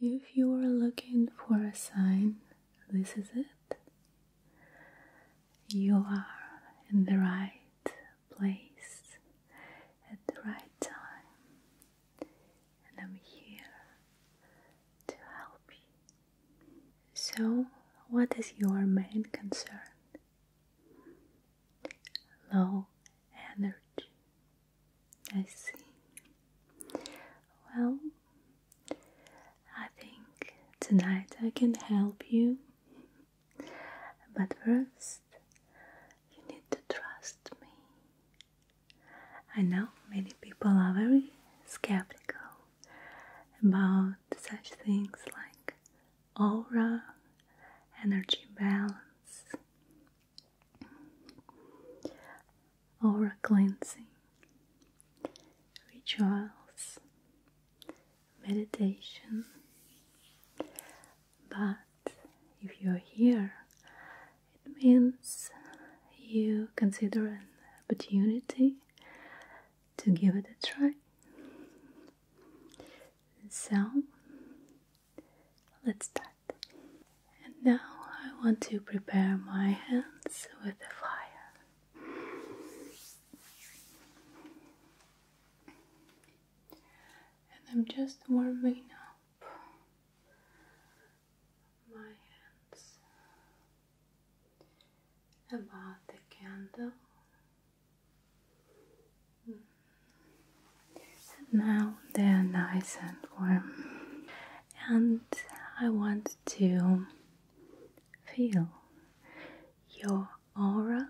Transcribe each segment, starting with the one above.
If you are looking for a sign, this is it. You are in the right place at the right time, and I'm here to help you. So, what is your main concern? Low energy. I see. Well, I think tonight I can help you. But first, you need to trust me. I know many people are very skeptical about such things like aura, energy balance, aura cleansing, rituals, meditation. But if you're here, it means you consider an opportunity to give it a try. So let's start. And now I want to prepare my hands with the fire. And I'm just warming up my hands about the candle. Mm. now they are nice and warm and I want to feel your aura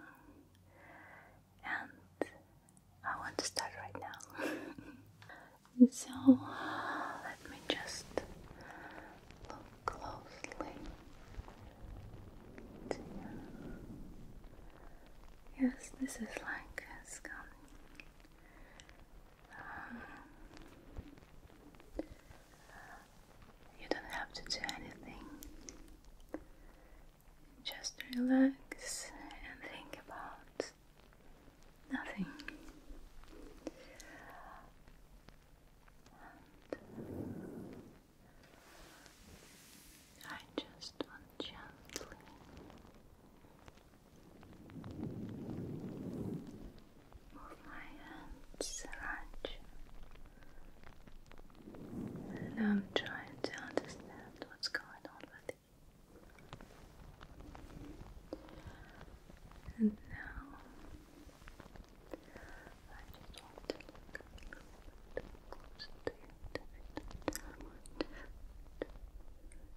and I want to start right now. so let me just look closely. Yes, this is like a scan um, you don't have to do anything. Just relax and think about nothing. I just want gently Move my hands around And I'm trying to understand what's going on with you. And now I just want to look a little bit closer to you. To it. I want to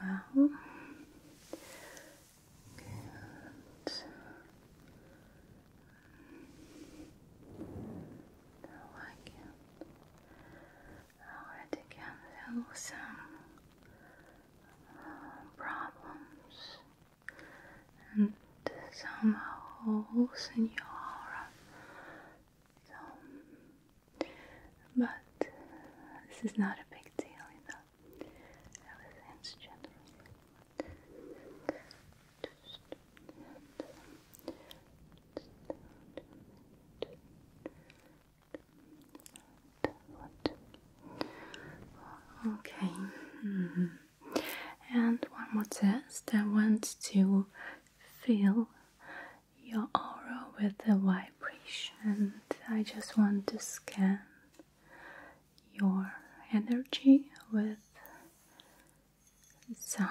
Well, I can already can feel some uh, problems and some holes in your um, but this is not a big deal, you know. Everything's general. Okay, mm-hmm. and one more test. I want to feel your aura with the vibration. I just want to scan your energy with sound.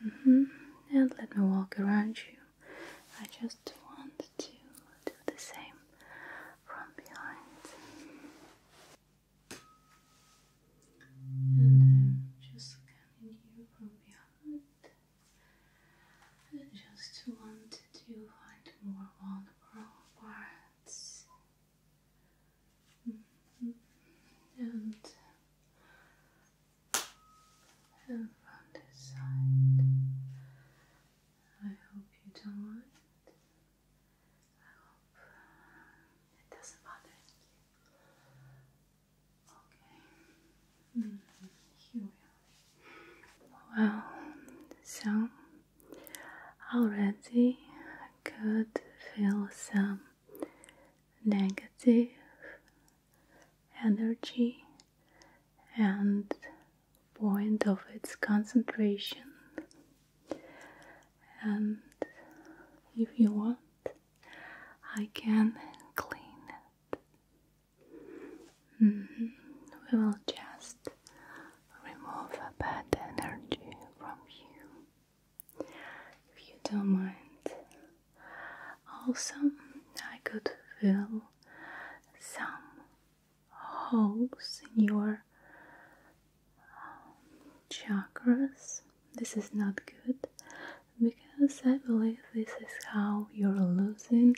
Mm-hmm. And let me walk around you. I just want to do the same from behind. And I'm just scanning you from behind. I just want to find more vulnerable parts. Mm-hmm. and and from this side. I hope you don't mind. I hope uh, it doesn't bother you. Okay. Mm-hmm. Here we are. Well, so already could feel some negative energy and point of its concentration and if you want I can clean it mm-hmm. we will just remove a bad energy from you if you don't mind. Also, I could feel some holes in your um, chakras. This is not good because I believe this is how you're losing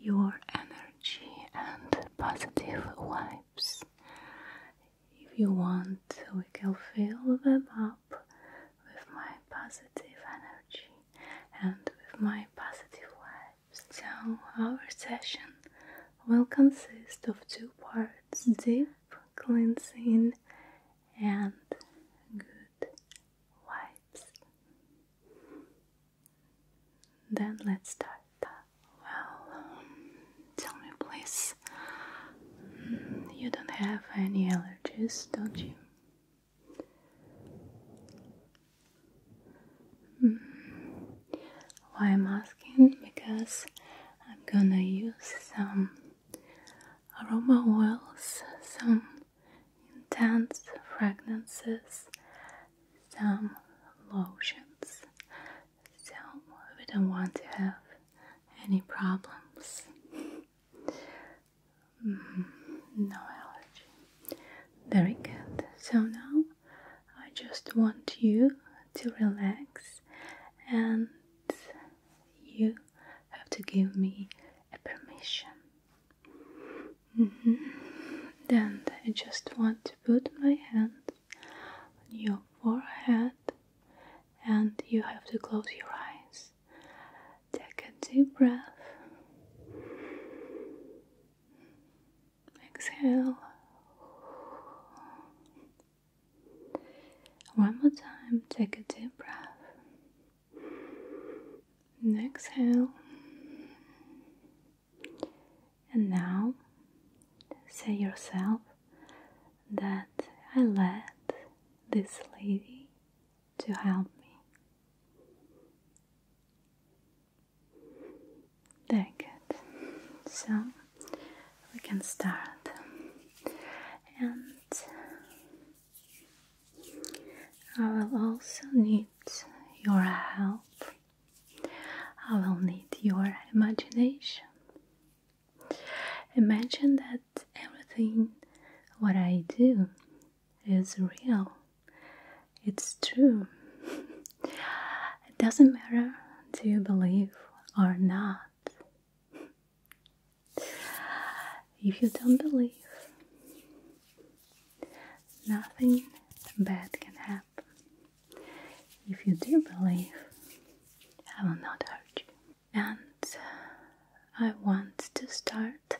your energy and positive vibes. If you want, we can fill them up with my positive energy and with my positive vibes. So, our session will consist of two parts deep cleansing and good vibes. Then let's start. Well, um, tell me please. you don't have any allergies, don't you? Hmm. Why I'm asking? Because I'm gonna use some aroma oils, some intense fragrances, some lotions, so we don't want to have any problems. Mm-hmm. no allergy. Very good. So now I just want you to relax and you have to give me a permission. Mm Then I just want to put my hand on your forehead and you have to close your eyes. Take a deep breath. Exhale. One more time, take a deep breath. exhale. And now say yourself that I let this lady to help me. Very good. So we can start. And I will also need your help. I will need your imagination Imagine that everything what I do is real. It's true. it doesn't matter do you believe or not. If you don't believe, nothing bad can happen. If you do believe, I will not hurt you. And uh, I want to start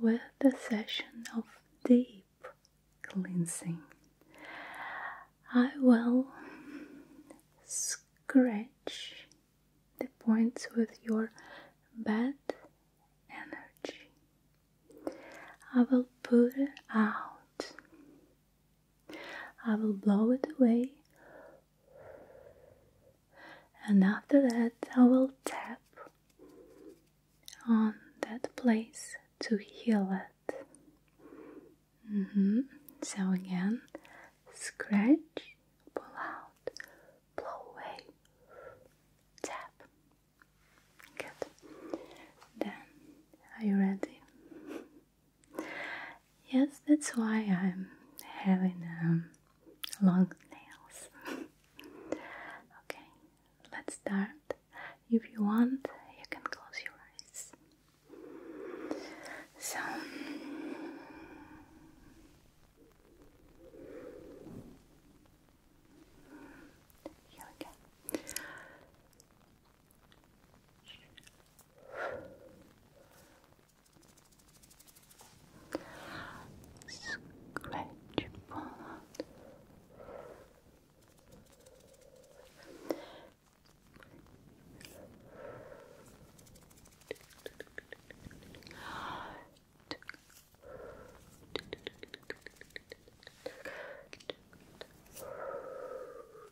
with the session of deep cleansing. I will scratch the points with your bad energy. I will put it out I will blow it away, and after that, I will tap on that place to heal it. Mm-hmm. So, again, scratch, pull out, blow away, tap. Good. Then, are you ready? Yes, that's why I'm having um, long nails. okay, let's start. If you want, you can close your eyes. So. Here we go. Scratch forward. Scratch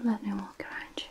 and let me walk around you.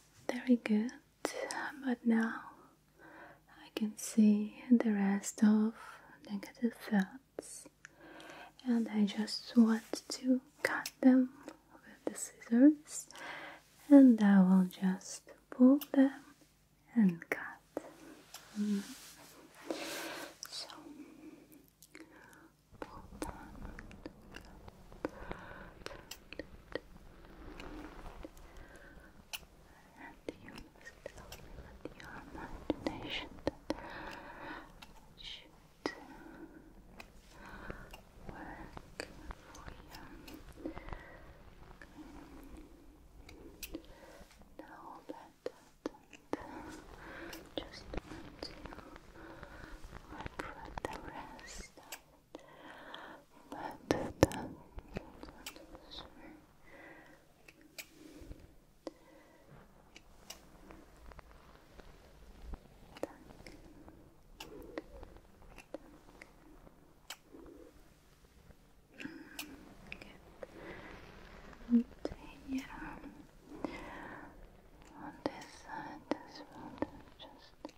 Very good. But now I can see the rest of negative thoughts, and I just want to cut them with the scissors, and I will just pull them and cut. Mm. So them, and you must tell with your imagination that work for you. Okay. Now that just want to work the rest but that Continue on this side as well. Just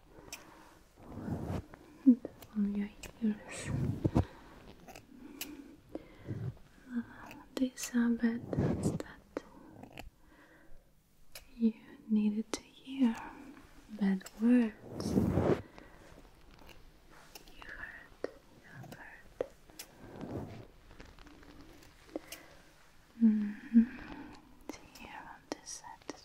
on your ears. Uh, these are bad things that you needed to hear. Bad words. You heard. You have heard. Mm -hmm. Here on this side as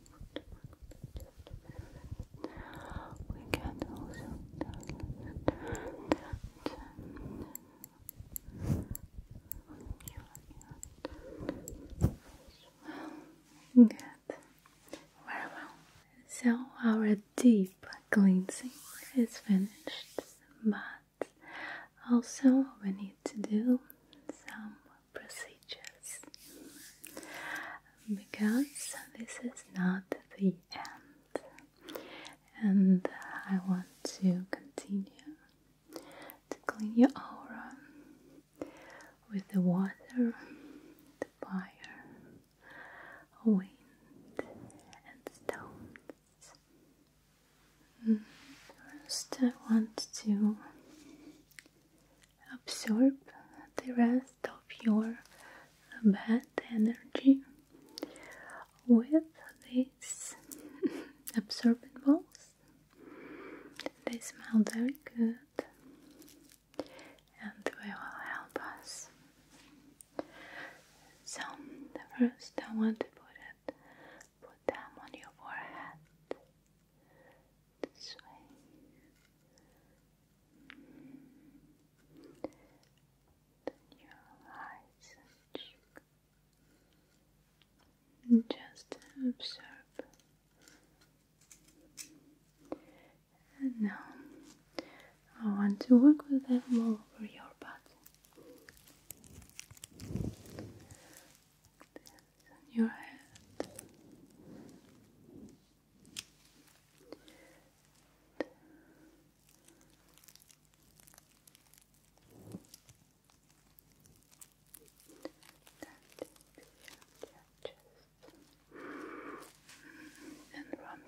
We can also well, good. So our deep cleansing is finished, but also we need to do some procedures because this is not the end, and I want to continue to clean your aura with the water, the fire, wind, and stones. Mm, first, I want to absorb the rest of your bad energy with these absorbent balls. They smell very good and they will help us. So, first I want to put it, put them on your forehead this way. Then your eyes just observe. And now I want to work with them all over your body. your head and from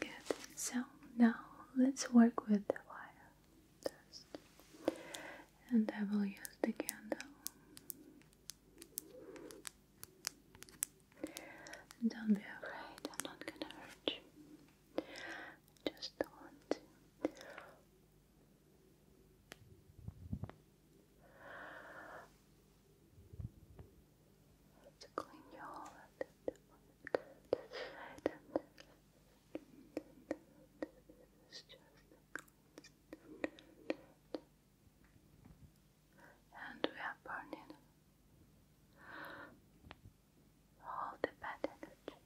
Good. So now let's work with the wire dust. And I will use the candle. Don't be afraid, I'm not gonna hurt you. Just want to to clean your whole This is just and we are burning all the bad energy.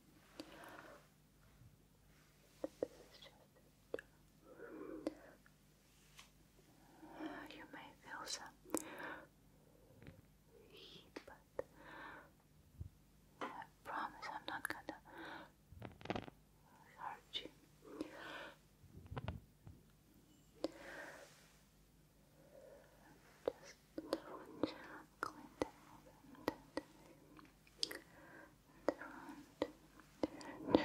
This is just uh, you may feel some heat, but I promise I'm not gonna hurt you. Just one jump, and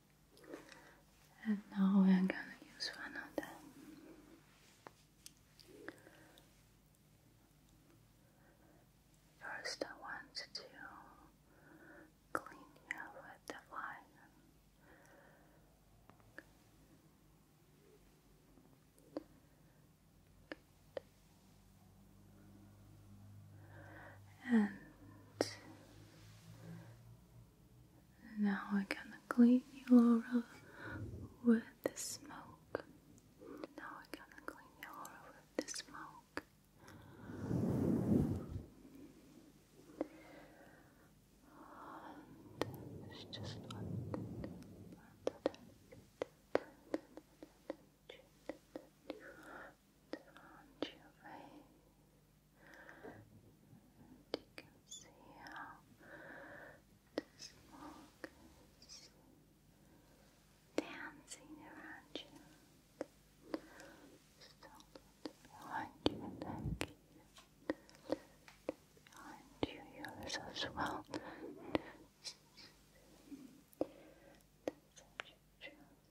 And now we are gonna use one of them. First, I want to clean you with the wire. And now I'm gonna clean you, aura with the smoke. Now we're gonna clean your aura with the smoke you can see how the smoke is dancing around you. Just a little behind you, thank you. Behind you, yours as well. That's such a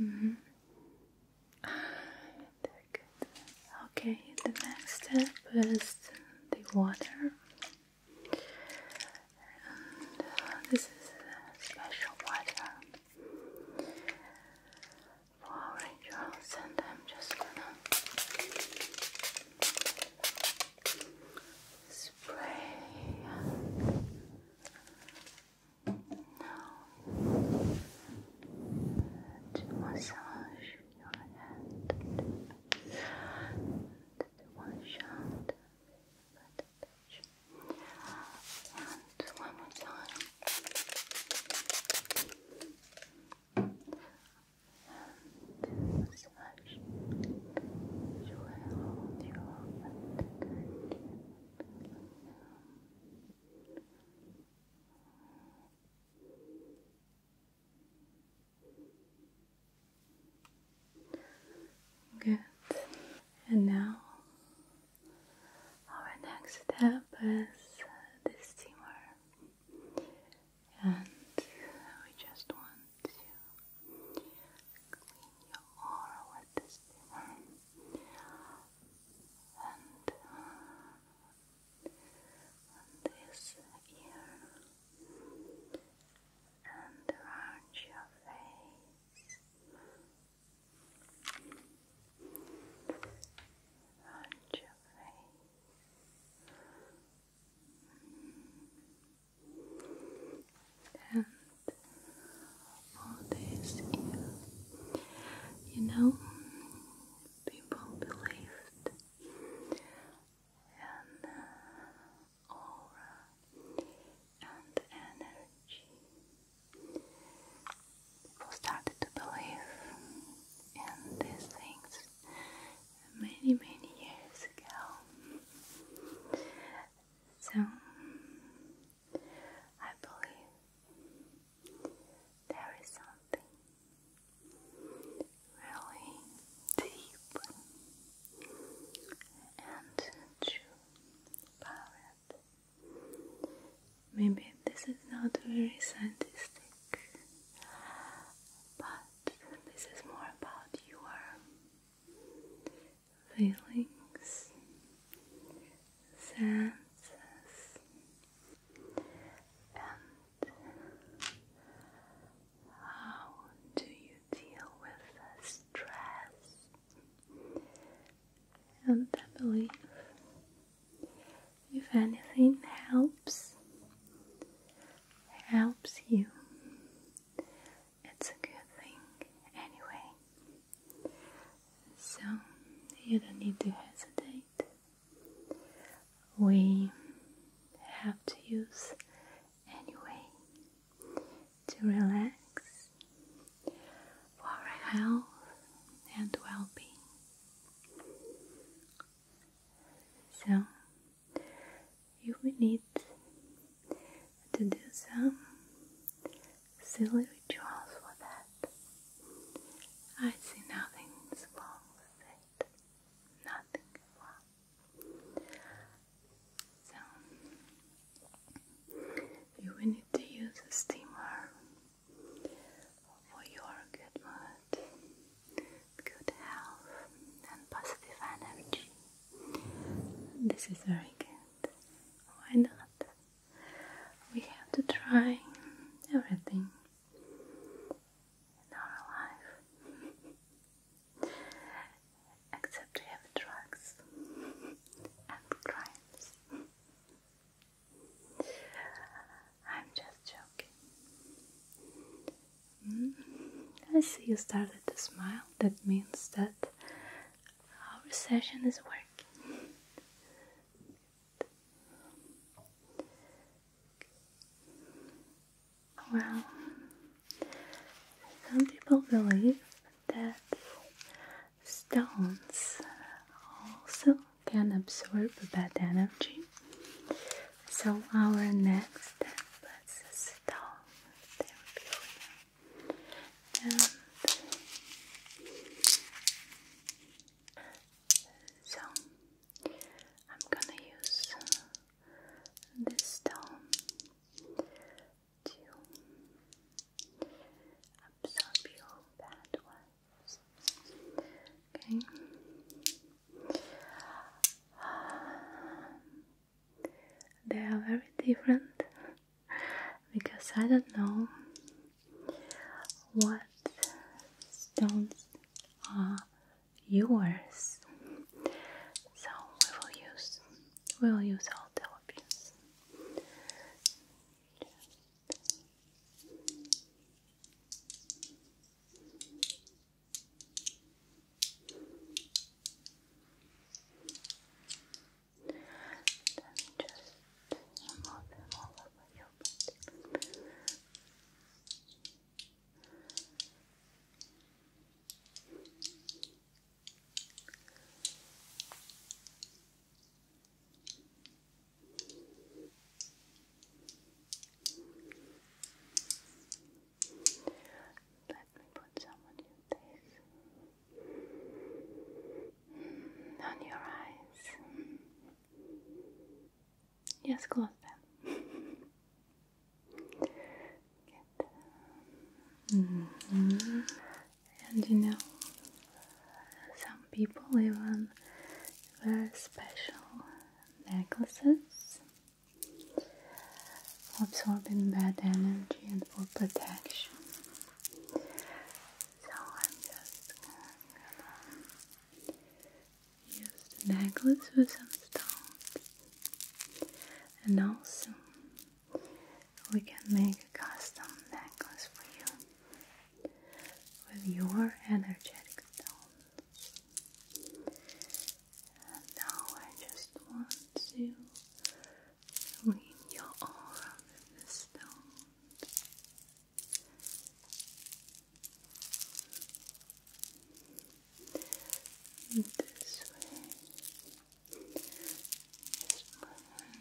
Mm-hmm. Okay, the next step is the water. And uh, this is a special water for our angels, and I'm just gonna spray now to massage your head and one shot and one more time and massage it. will hold you up Good. And now our next step is the steamer. And we just want to clean your aura with this And this ear and around your face. Around your face and all this You know, people believed in uh, aura and energy. People started to believe in these things many, many years ago. So, I believe there is something really deep and true about it. Maybe this is not very scientific, but this is more about your feelings, senses, and how do you deal with stress? And I believe if anything helps, helps you it's a good thing anyway. So you don't need to hesitate. We have to use anyway to relax for our health and well being. So you will need to do some silly rituals for that. I see nothing wrong with it. Nothing wrong. So you will need to use a steamer for your good mood good health and positive energy. This is very good. Why not? We have to try everything in our life, except heavy drugs and crimes. I'm just joking. Hmm? I see you started to smile. That means that our session is working. well, some people believe that stones also can absorb bad energy. So, our next step is a stone therapy for so I'm gonna use this stone to absorb your bad ones. Okay. They are very different because I don't know what stones are yours. So we will use we will use all the options just move them all over your body. Let me put some on your face. Hmm, on your eyes. Hmm. Yes, close them. Good. And you know, some people even wear special necklaces absorbing bad energy and for protection. So I'm just gonna use necklace with some stones, and also we can make a custom necklace for you with your energetic stones. And now I just want to clean your aura with the stone. This way.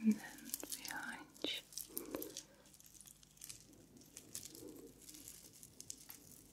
and then behind you.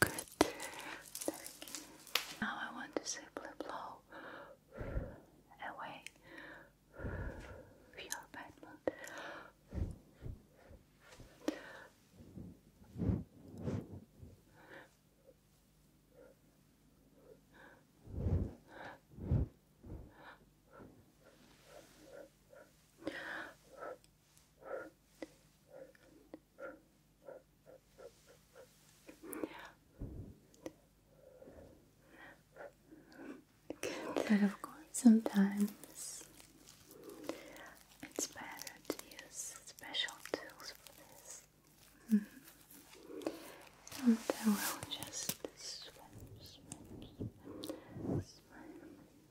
Good. Now I want to simply blow away your bad mood. But of course, sometimes it's better to use special tools for this. Mm-hmm. And I will just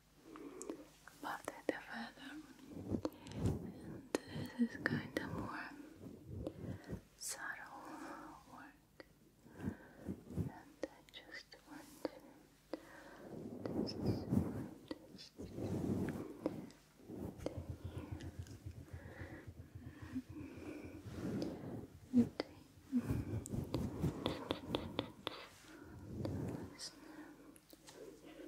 part of the feather this is kind of more subtle work and I just want this is just and here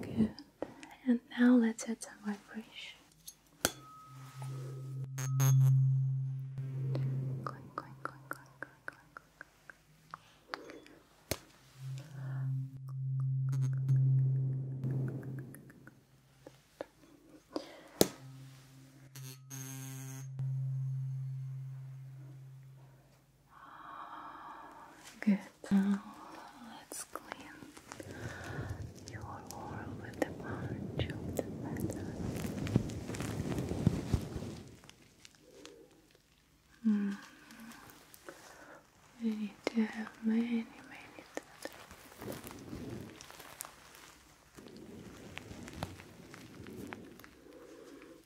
Good. And now let's add some vibration. Good. Now let's clean your oral with the punch hmm. of We need to have many, many that.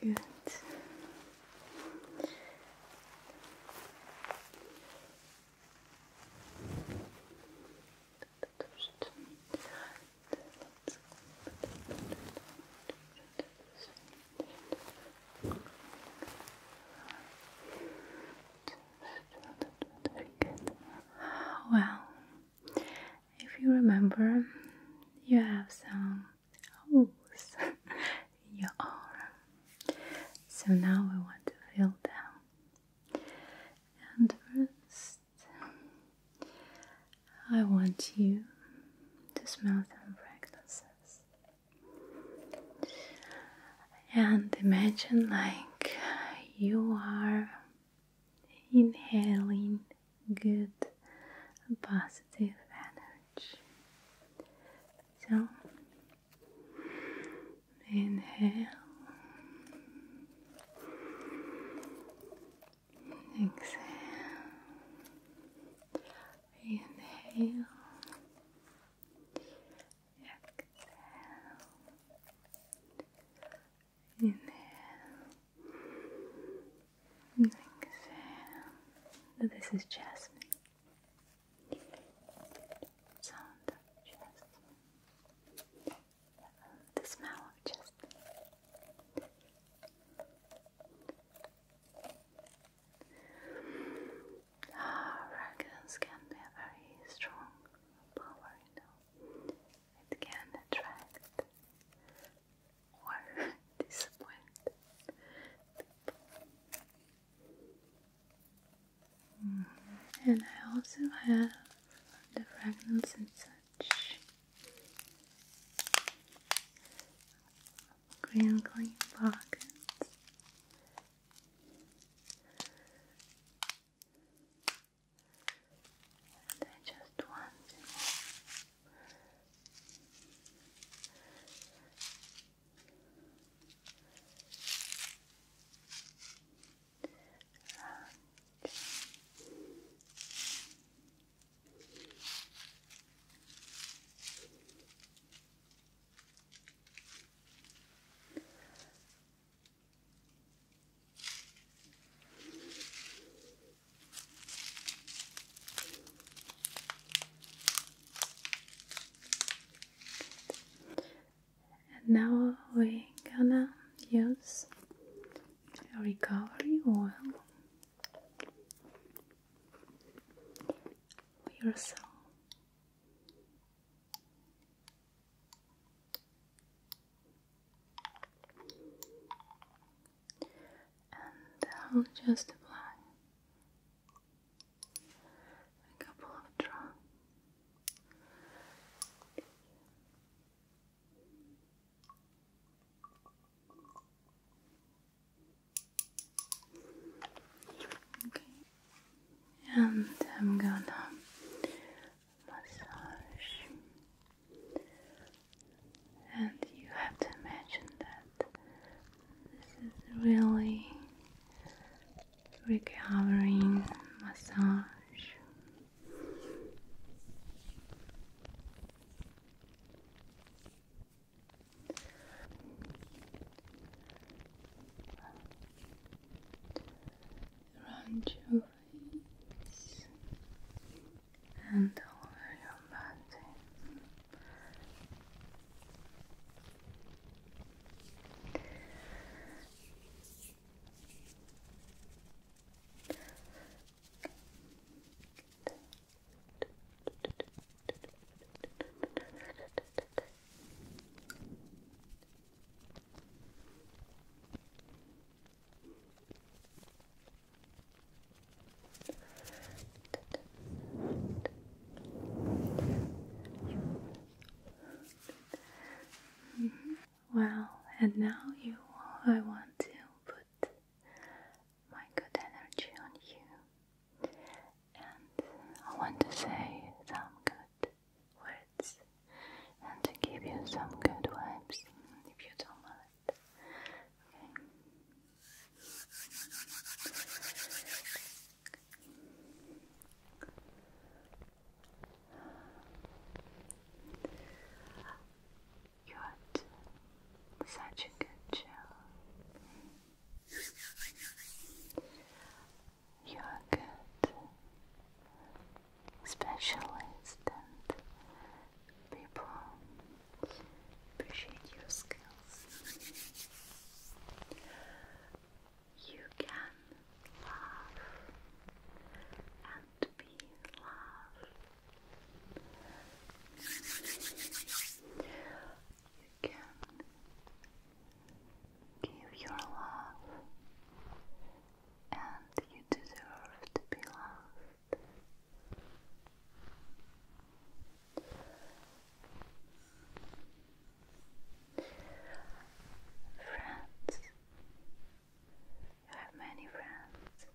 Good. let well, if you remember, you have some holes in your arm. So now we want to fill them. And first, I want you to smell some fragrances and imagine like you are inhaling good positive energy. So inhale, exhale, inhale, Exhale. Inhale. Exhale. This is jasmine. Sound of jasmine. The smell of jasmine. Ah, can be a very strong power, It can attract or disappoint mm-hmm. And I also have the fragments and such green clean pockets and I just want to and and now we're gonna use a recovery oil for your and I'll just apply a couple of drops. Okay. And I'm gonna massage. And you have to imagine that this is really recovering massage around your face and over your body. Well, and now you, I want to put my good energy on you and I want to say some good words and to give you some good vibes if you don't mind. Okay. You such a good job. You are good specialist and people appreciate your skills. You can love and be loved you can give your love, and you deserve to be loved. Friends, you have many friends,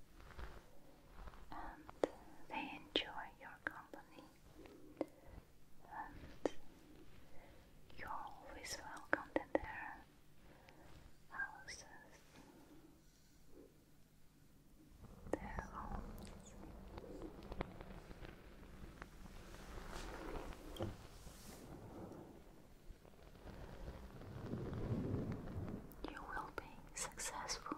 and they enjoy your company and you're always welcomed in their houses, their homes. You will be successful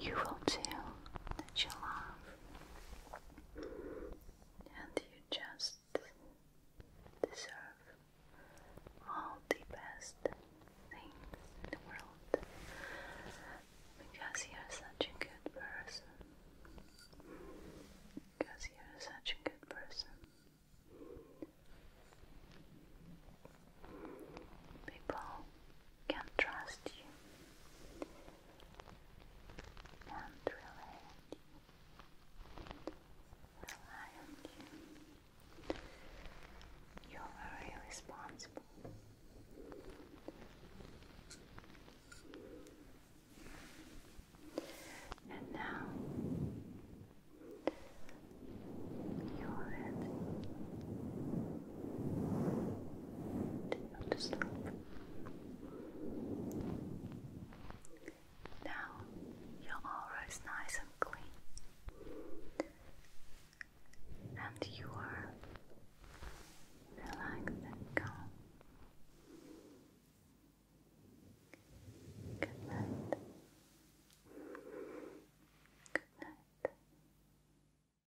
you will tell that you love, and you just deserve all the best things in the world because you're such a good person. Because you're such a good person. People can trust you and rely on you. Rely you. You are very And now you are ready didn't sleep. Now your aura is nice and clean, and you are relaxed and calm. Good night. Good night.